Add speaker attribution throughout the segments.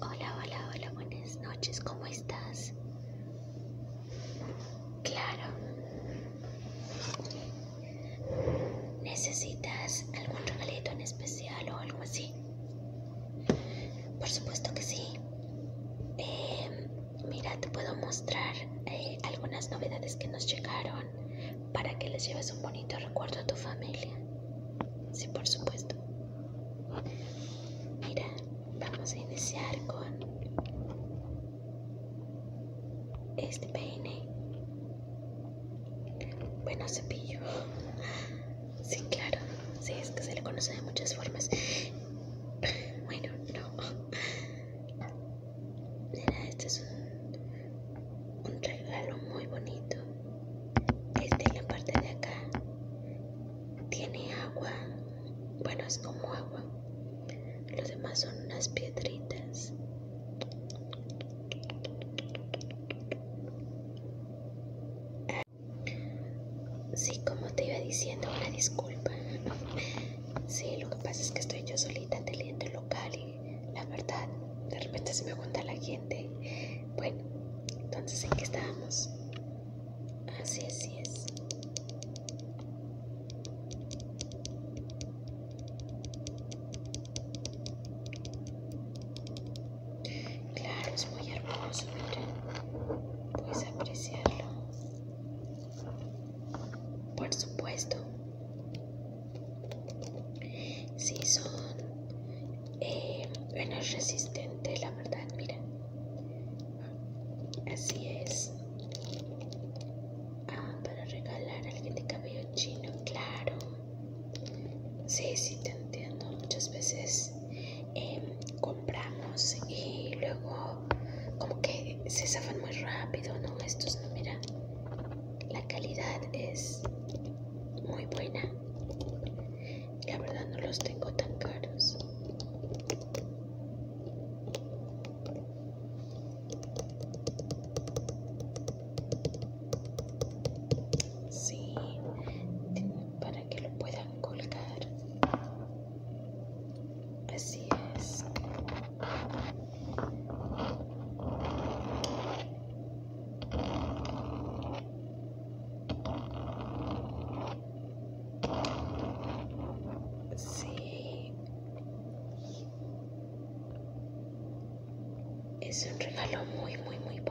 Speaker 1: Hola, hola, hola, buenas noches, ¿cómo estás? Claro. ¿Necesitas algún regalito en especial o algo así? Por supuesto que sí. Em, Mira, te puedo mostrar eh, algunas novedades que nos llegaron para que les lleves un bonito recuerdo a tu familia. Sí, por supuesto. Mira, vamos a iniciar con este peine. Bueno, cepillo. Sí, claro. Sí, es que se le conoce de muchas formas. Bueno, no. Mira, este es un, regalo muy bonito. Este en la parte de acá tiene agua. Bueno, es como agua. Los demás son unas piedritas. Ah, sí, como te iba diciendo, una disculpa. Sí, lo que pasa es que estoy yo solita en el diente local y la verdad, de repente se me junta la gente. Bueno, entonces, ¿en qué estábamos? Así, así es. Claro, es muy hermoso, miren. Puedes apreciarlo. Por supuesto. Si son menos eh, resistentes, la verdad, mira. Así es. Ah, para regalar a alguien de cabello chino, claro. si, si te entiendo. Muchas veces em, compramos y luego como que se safan muy rápido, ¿no? Estos, mira, la calidad es muy buena. La verdad no los tengo tan caros. Sí, para que lo puedan colgar Así es. Es un regalo muy, muy, muy bonito.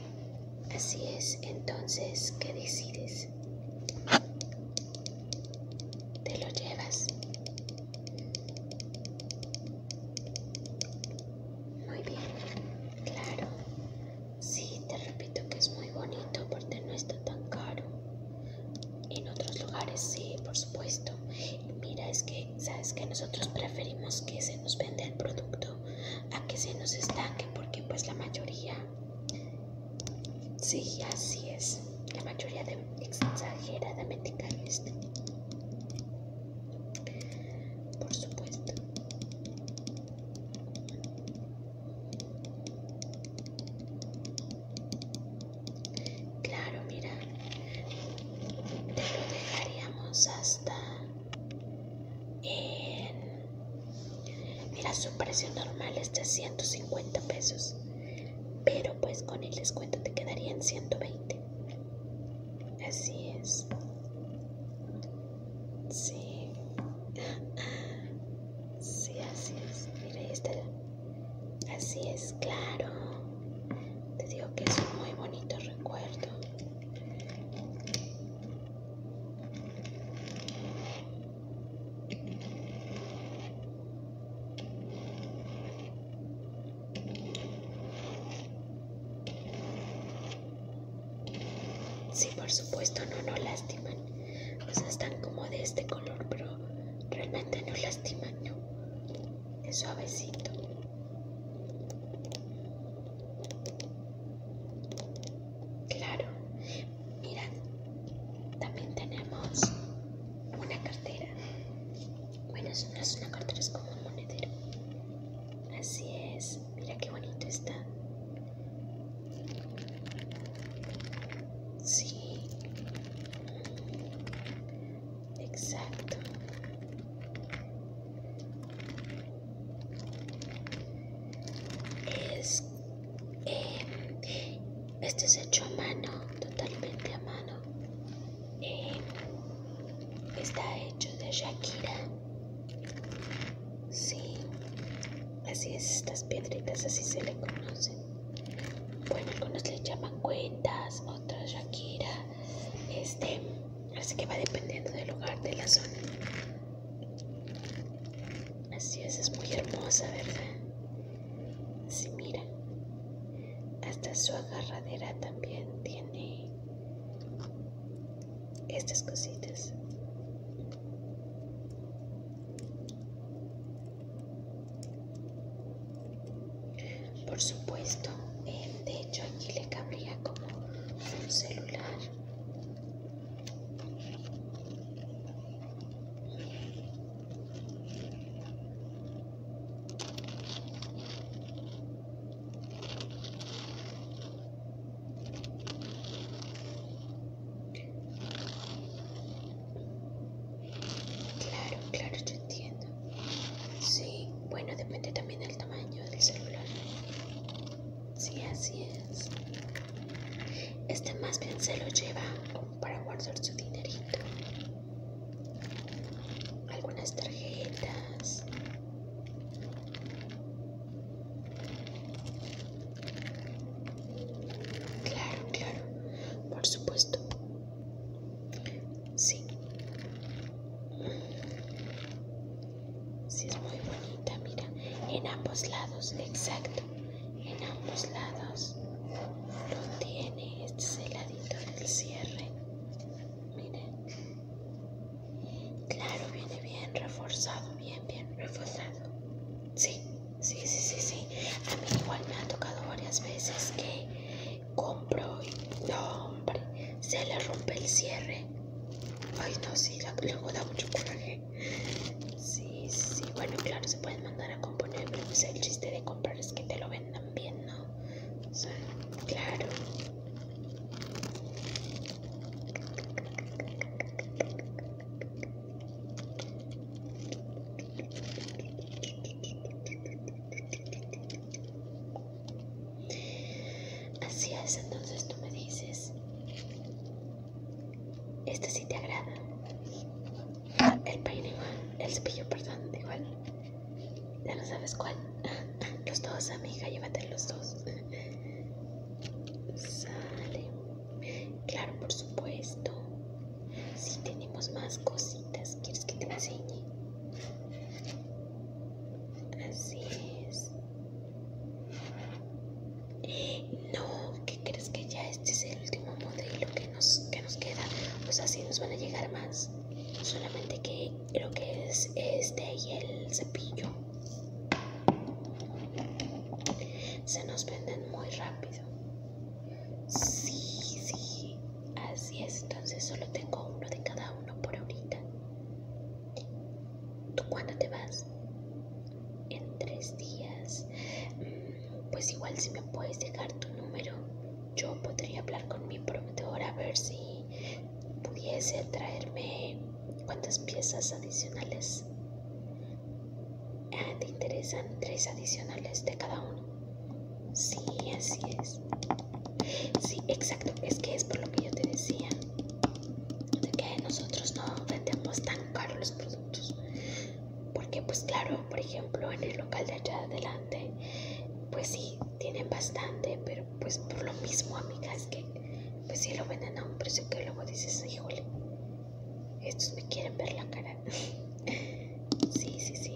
Speaker 1: Así es, entonces, ¿qué decides? ¿Te lo llevas? Muy bien, claro. Sí, te repito que es muy bonito porque no está tan caro. En otros lugares sí, por supuesto. Mira, es que, ¿sabes que Nosotros preferimos que se nos venda el producto a que se nos estanque porque pues la mayoría Sí, así es. La mayoría de exageradamente carista. Este Por supuesto. Claro, mira. Te lo dejaríamos hasta en... Mira, su precio normal es de 150 pesos, pero pues con el descuento te quedaría en 120. Así es. Sí. Sí, así es. Mira, ahí Así es, claro. Te digo que es muy bonito recuerdo. Sí, por supuesto, no no lastiman. O sea, están como de este color, pero realmente no lastiman, no. Es suavecito. Claro. Mirad, también tenemos una cartera. Bueno, eso no es una cartera, es como un monedero. Así es. Mira qué bonito está. Sí. Exacto. Es, em, este es hecho a mano, totalmente a mano. Em, está hecho de Shakira. Sí, así es, estas piedritas así se le conocen. Bueno, algunos le llaman cuentas, otros Shakira. Este, así que va dependiendo del lugar, de la zona. Así es, es muy hermosa, ¿verdad? Si mira. Hasta su agarradera también tiene estas cositas. Por supuesto, eh, de hecho aquí le cabría como un celular Claro, claro, yo entiendo. Sí, bueno, depende también del tamaño del celular. Sí, así es. Este más bien se lo lleva para guardar su dinerito. Algunas tarjetas. Claro, claro, por supuesto. Sí. Sí, es muy bonita, mira. En ambos lados, exacto. En ambos lados lo tiene. Este es el del cierre. Miren. Claro, viene bien reforzado, bien, bien reforzado. Sí, sí, sí, sí, sí. A mí igual me ha tocado varias veces que compro y, hombre, se le rompe el cierre. Ay, no, sí, luego da mucho coraje. Sí, sí, bueno, claro, se pueden mandar a componer, pero pues el chiste de comprar es que te lo vendan bien, ¿no? O sea, claro. Así es, entonces tú me dices, este sí te agrada. Ah, el peine igual, el cepillo, perdón, igual. Ya no sabes cuál. Los dos, amiga, llévate los dos. Sale. Claro, por supuesto. Si tenemos más cositas, ¿quieres que te enseñe? Así es. No, ¿qué crees que ya este es el último modelo que nos, nos queda? pues así nos van a llegar más. Solamente que lo que es este y el cepillo. Se nos venden muy rápido. Sí, sí. Así es. Entonces solo tengo uno de cada uno por ahorita. ¿Tú cuándo te vas? En tres días. Mm, pues igual si me puedes dejar tu número, yo podría hablar con mi prometedora a ver si pudiese traerme cuántas piezas adicionales. Ah, ¿Te interesan tres adicionales de cada uno? Sí, así es. Sí, exacto. Es que es por lo que yo te decía de que nosotros no vendemos tan caros los productos porque pues claro por ejemplo en el local de allá adelante pues sí tienen bastante pero pues por lo mismo amigas que pues si lo venden a un precio que luego dices híjole estos me quieren ver la cara sí sí sí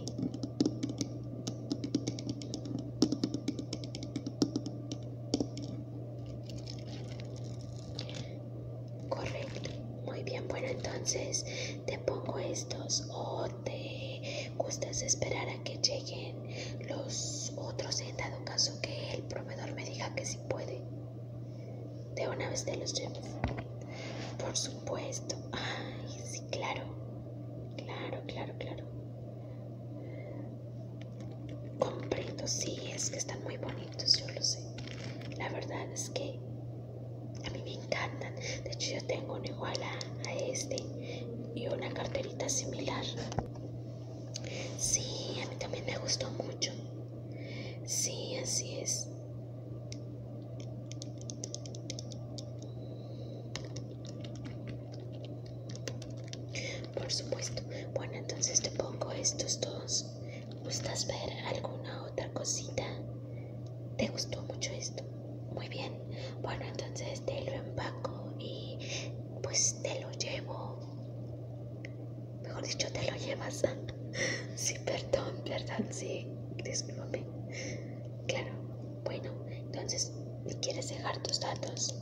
Speaker 1: Correcto. Muy bien, bueno, entonces te pongo estos o te gustas esperar a que lleguen los otros en dado caso que el proveedor me diga que sí puede. De una vez te los llevo. Por supuesto. Ay, sí, claro. Claro, claro, claro. Comprendo, sí, es que están muy bonitos, yo lo sé. La verdad es que a mí me encantan. De hecho, yo tengo una igual a, este y una carterita similar. Sí, a mí también me gustó mucho. Sí, así es. Por supuesto. Bueno, entonces te pongo estos dos. ¿Gustas ver alguna otra cosita? ¿Te gustó mucho esto? Muy bien. Bueno, entonces te lo empaco y pues te lo llevo. Mejor dicho, te lo llevas. sí, perdón, perdón, sí. Discúlpame. Claro. Bueno, entonces, ¿me quieres dejar tus datos?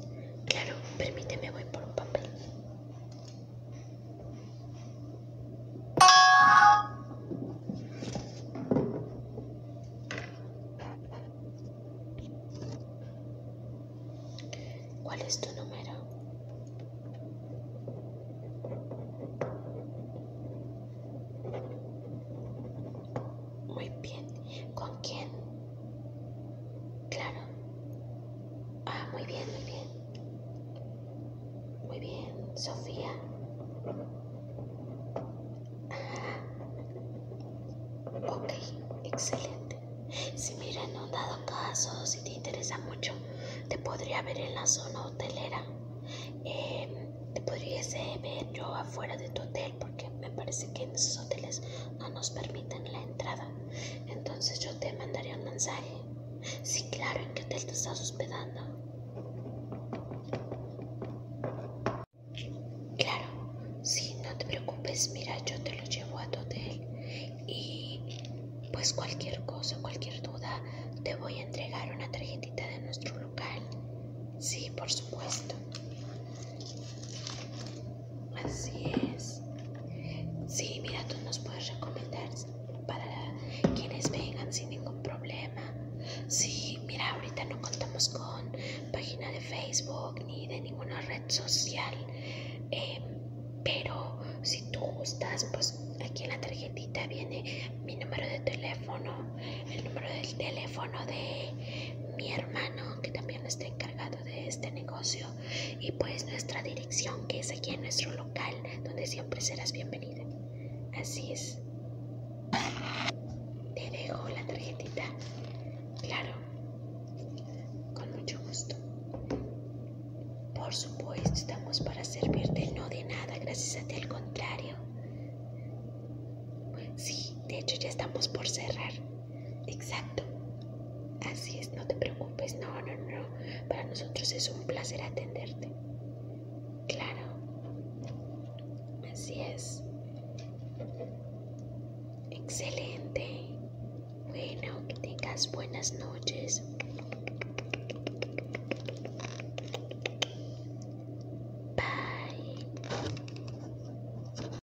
Speaker 1: Claro, permíteme, voy por un papel. ¿Cuál es tu número? Muy bien. ¿Con quién? Claro. Ah, muy bien, muy bien. Muy bien, Sofía. Ah. Ok, excelente. Si mira, en un dado caso, si te interesa mucho, te podría ver en la zona hotelera. Em, te podría eh, ver yo afuera de tu hotel porque me parece que en esos hoteles no nos permiten la entrada. Entonces yo te mandaré un mensaje. Sí, claro, ¿en qué hotel te estás hospedando? Claro, sí, no te preocupes, mira, yo te lo llevo a tu hotel y pues cualquier cosa, cualquier duda, te voy a entregar una tarjetita de nuestro local. Sí, por supuesto. Así es. Sí, mira, tú nos puedes recomendar para quienes vengan sin ningún problema. Sí, mira, ahorita no contamos con página de Facebook ni de ninguna red social. Em, pero si tú gustas, pues aquí en la tarjetita viene mi número de teléfono, el número del teléfono de mi hermano que también está encargado de este negocio y pues nuestra dirección que es aquí en nuestro local donde siempre serás bienvenida. Así es. Te dejo la tarjetita. Claro. Con mucho gusto. Por supuesto, estamos para servirte, no de nada, gracias a ti, al contrario. Sí, de hecho ya estamos por cerrar. Exacto. Así es, no te preocupes. No, no, no. Para nosotros es un placer atenderte. Claro. Así es. Excelente. Bueno, que tengas buenas noches. Bye.